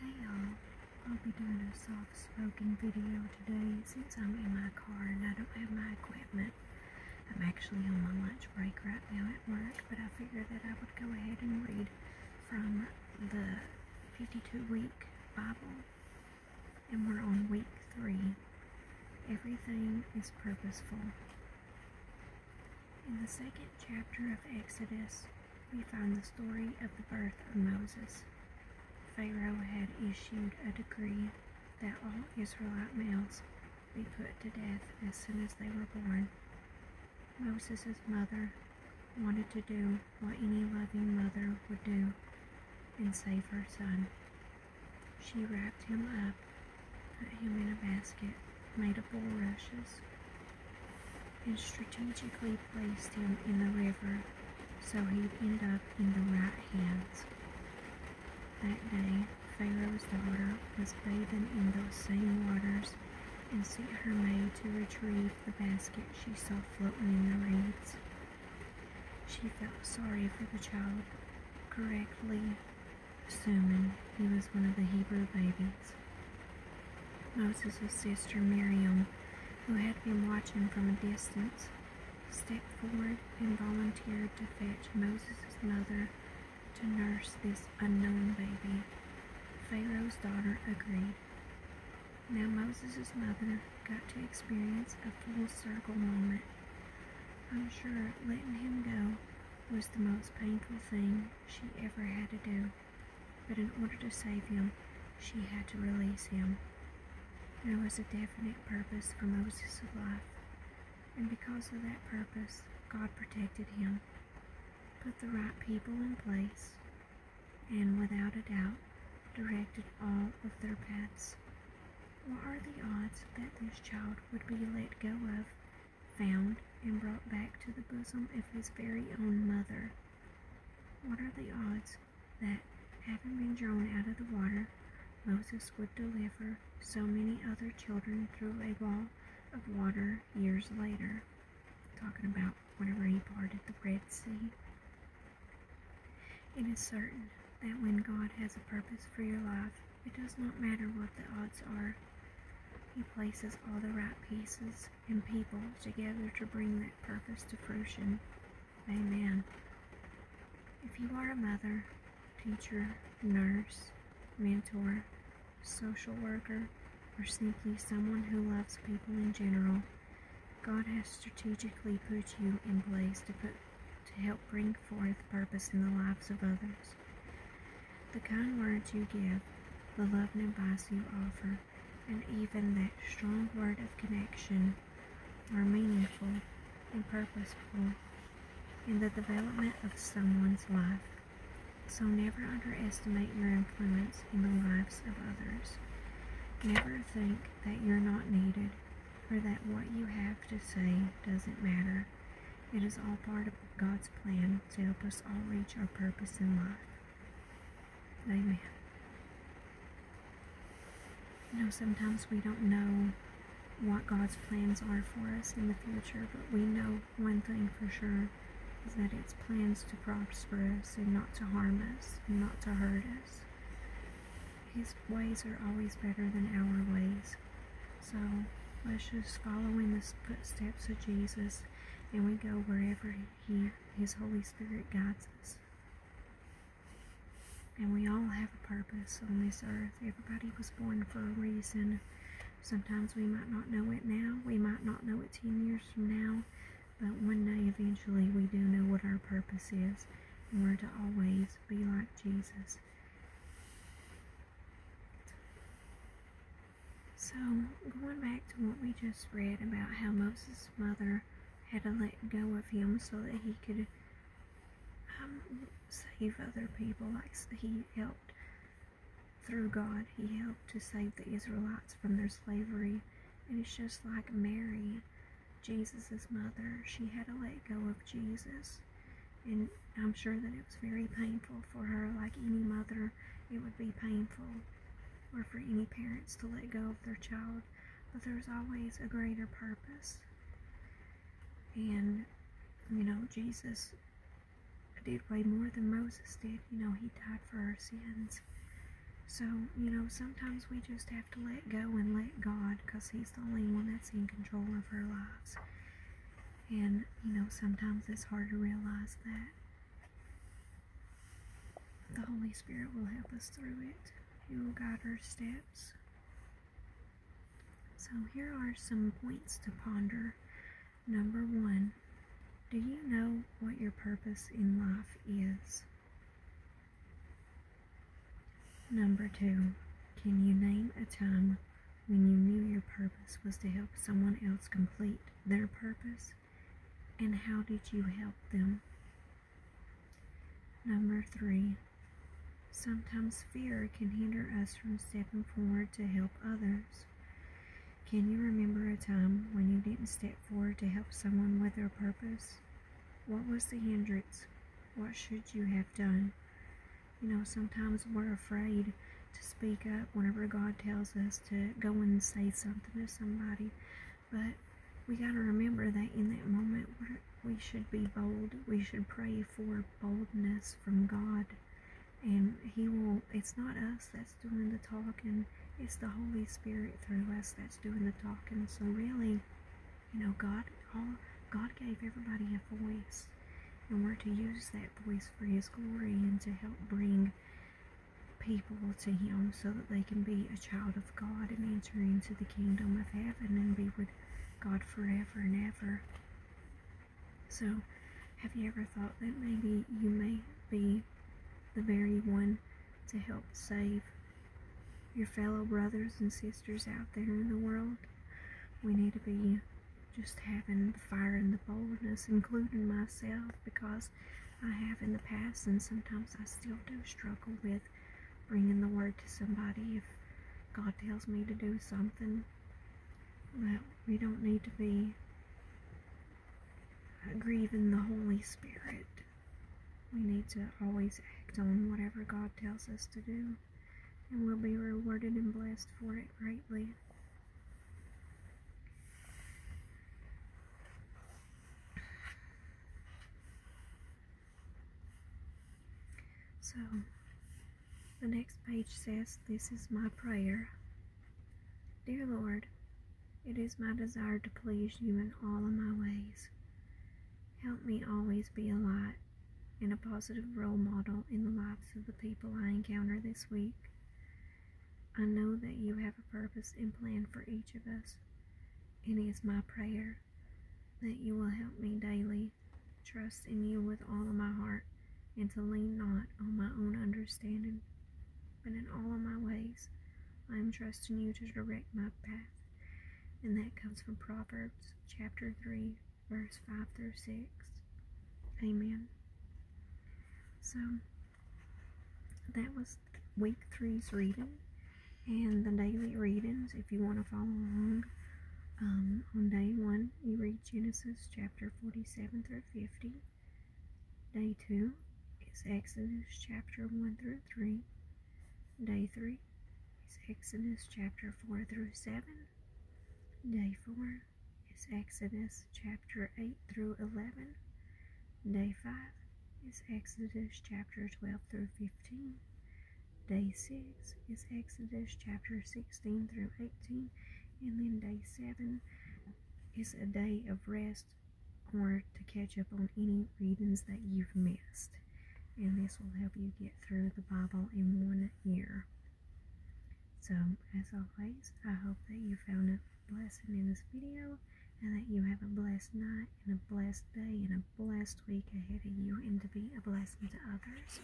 Hey y'all, I'll be doing a soft spoken video today since I'm um, in my car and I don't have my equipment. I'm actually on my lunch break right now at work, but I figured that I would go ahead and read from the 52 week Bible. And we're on week three. Everything is purposeful. In the second chapter of Exodus, we find the story of the birth of Moses. Pharaoh had issued a decree that all Israelite males be put to death as soon as they were born. Moses' mother wanted to do what any loving mother would do and save her son. She wrapped him up, put him in a basket made of bulrushes, and strategically placed him in the river so he'd end up in the right hands. That day, Pharaoh's daughter was bathing in those same waters and sent her maid to retrieve the basket she saw floating in the reeds. She felt sorry for the child, correctly Assuming he was one of the Hebrew babies. Moses' sister Miriam, who had been watching from a distance, stepped forward and volunteered to fetch Moses' mother to nurse this unknown baby. Pharaoh's daughter agreed. Now Moses' mother got to experience a full circle moment. I'm sure letting him go was the most painful thing she ever had to do, but in order to save him, she had to release him. There was a definite purpose for Moses' life, and because of that purpose, God protected him, put the right people in place, and without a doubt, directed all of their paths. What are the odds that this child would be let go of found and brought back to the bosom of his very own mother. What are the odds that, having been drawn out of the water, Moses would deliver so many other children through a wall of water years later? Talking about whenever he parted the Red Sea. It is certain that when God has a purpose for your life, it does not matter what the odds are. He places all the right pieces and people together to bring that purpose to fruition. Amen. If you are a mother, teacher, nurse, mentor, social worker, or simply someone who loves people in general, God has strategically put you in place to put to help bring bring forth purpose in the lives of others. The kind words you give, the loving advice you offer, and even that strong word of connection are meaningful and purposeful in the development of someone's life. So never underestimate your influence in the lives of others. Never think that you're not needed or that what you have to say doesn't matter. It is all part of God's plan to help us all reach our purpose in life. Amen. You know, sometimes we don't know what God's plans are for us in the future, but we know one thing for sure is that it's plans to prosper us and not to harm us and not to hurt us. His ways are always better than our ways. So let's just follow in the footsteps of Jesus and we go wherever he, His Holy Spirit guides us. And we all have a purpose on this earth. Everybody was born for a reason. Sometimes we might not know it now. We might not know it 10 years from now. But one day, eventually, we do know what our purpose is. And we're to always be like Jesus. So, going back to what we just read about how Moses' mother had to let go of him so that he could um, save other people, like he helped through God, he helped to save the Israelites from their slavery. And it's just like Mary Jesus' mother. She had to let go of Jesus. And I'm sure that it was very painful for her. Like any mother, it would be painful, or for any parents to let go of their child. But there's always a greater purpose. And, you know, Jesus did way more than Moses did. You know, he died for our sins. So, you know, sometimes we just have to let go and let God because He's the only one that's in control of our lives. And, you know, sometimes it's hard to realize that. The Holy Spirit will help us through it. you will guide our steps. So here are some points to ponder. Number one, do you know what your purpose in life is? Number two, can you name a time when you knew your purpose was to help someone else complete their purpose? And how did you help them? Number three, sometimes fear can hinder us from stepping forward to help others. Can you remember a time when you didn't step forward to help someone with their purpose? What was the hindrance? What should you have done? You know, sometimes we're afraid to speak up whenever God tells us to go and say something to somebody. But we got to remember that in that moment, we should be bold. We should pray for boldness from God. And He will, it's not us that's doing the talking, it's the Holy Spirit through us that. Doing the talking. So really, you know, God, all, God gave everybody a voice, and we're to use that voice for His glory and to help bring people to Him, so that they can be a child of God and enter into the kingdom of heaven and be with God forever and ever. So, have you ever thought that maybe you may be the very one to help save your fellow brothers and sisters out there in the world. We need to be just having the fire and the boldness, including myself, because I have in the past, and sometimes I still do struggle with bringing the word to somebody if God tells me to do something. But we don't need to be grieving the Holy Spirit we need to always act on whatever God tells us to do, and we'll be rewarded and blessed for it greatly. So, the next page says, This is my prayer Dear Lord, it is my desire to please you in all of my ways. Help me always be a light and a positive role model in the lives of the people I encounter this week. I know that you have a purpose and plan for each of us, and it is my prayer that you will help me daily trust in you with all of my heart and to lean not on my own understanding and in all of my ways I am trusting you to direct my path. And that comes from Proverbs chapter 3, verse 5 through 6. Amen. So, that was week three's reading and the daily readings. If you want to follow along, um, on day one, you read Genesis chapter 47 through 50. Day 2 is Exodus chapter 1 through 3. Day 3 is Exodus chapter 4 through 7. Day 4 is Exodus chapter 8 through 11. Day 5 is Exodus chapter 12 through 15. Day 6 is Exodus chapter 16 through 18. And then day 7 it's a day of rest or to catch up on any readings that you've missed. And this will help you get through the Bible in one year. So, as always, I hope that you found a blessing in this video and that you have a blessed night and a blessed day and a blessed week ahead of you and to be a blessing to others.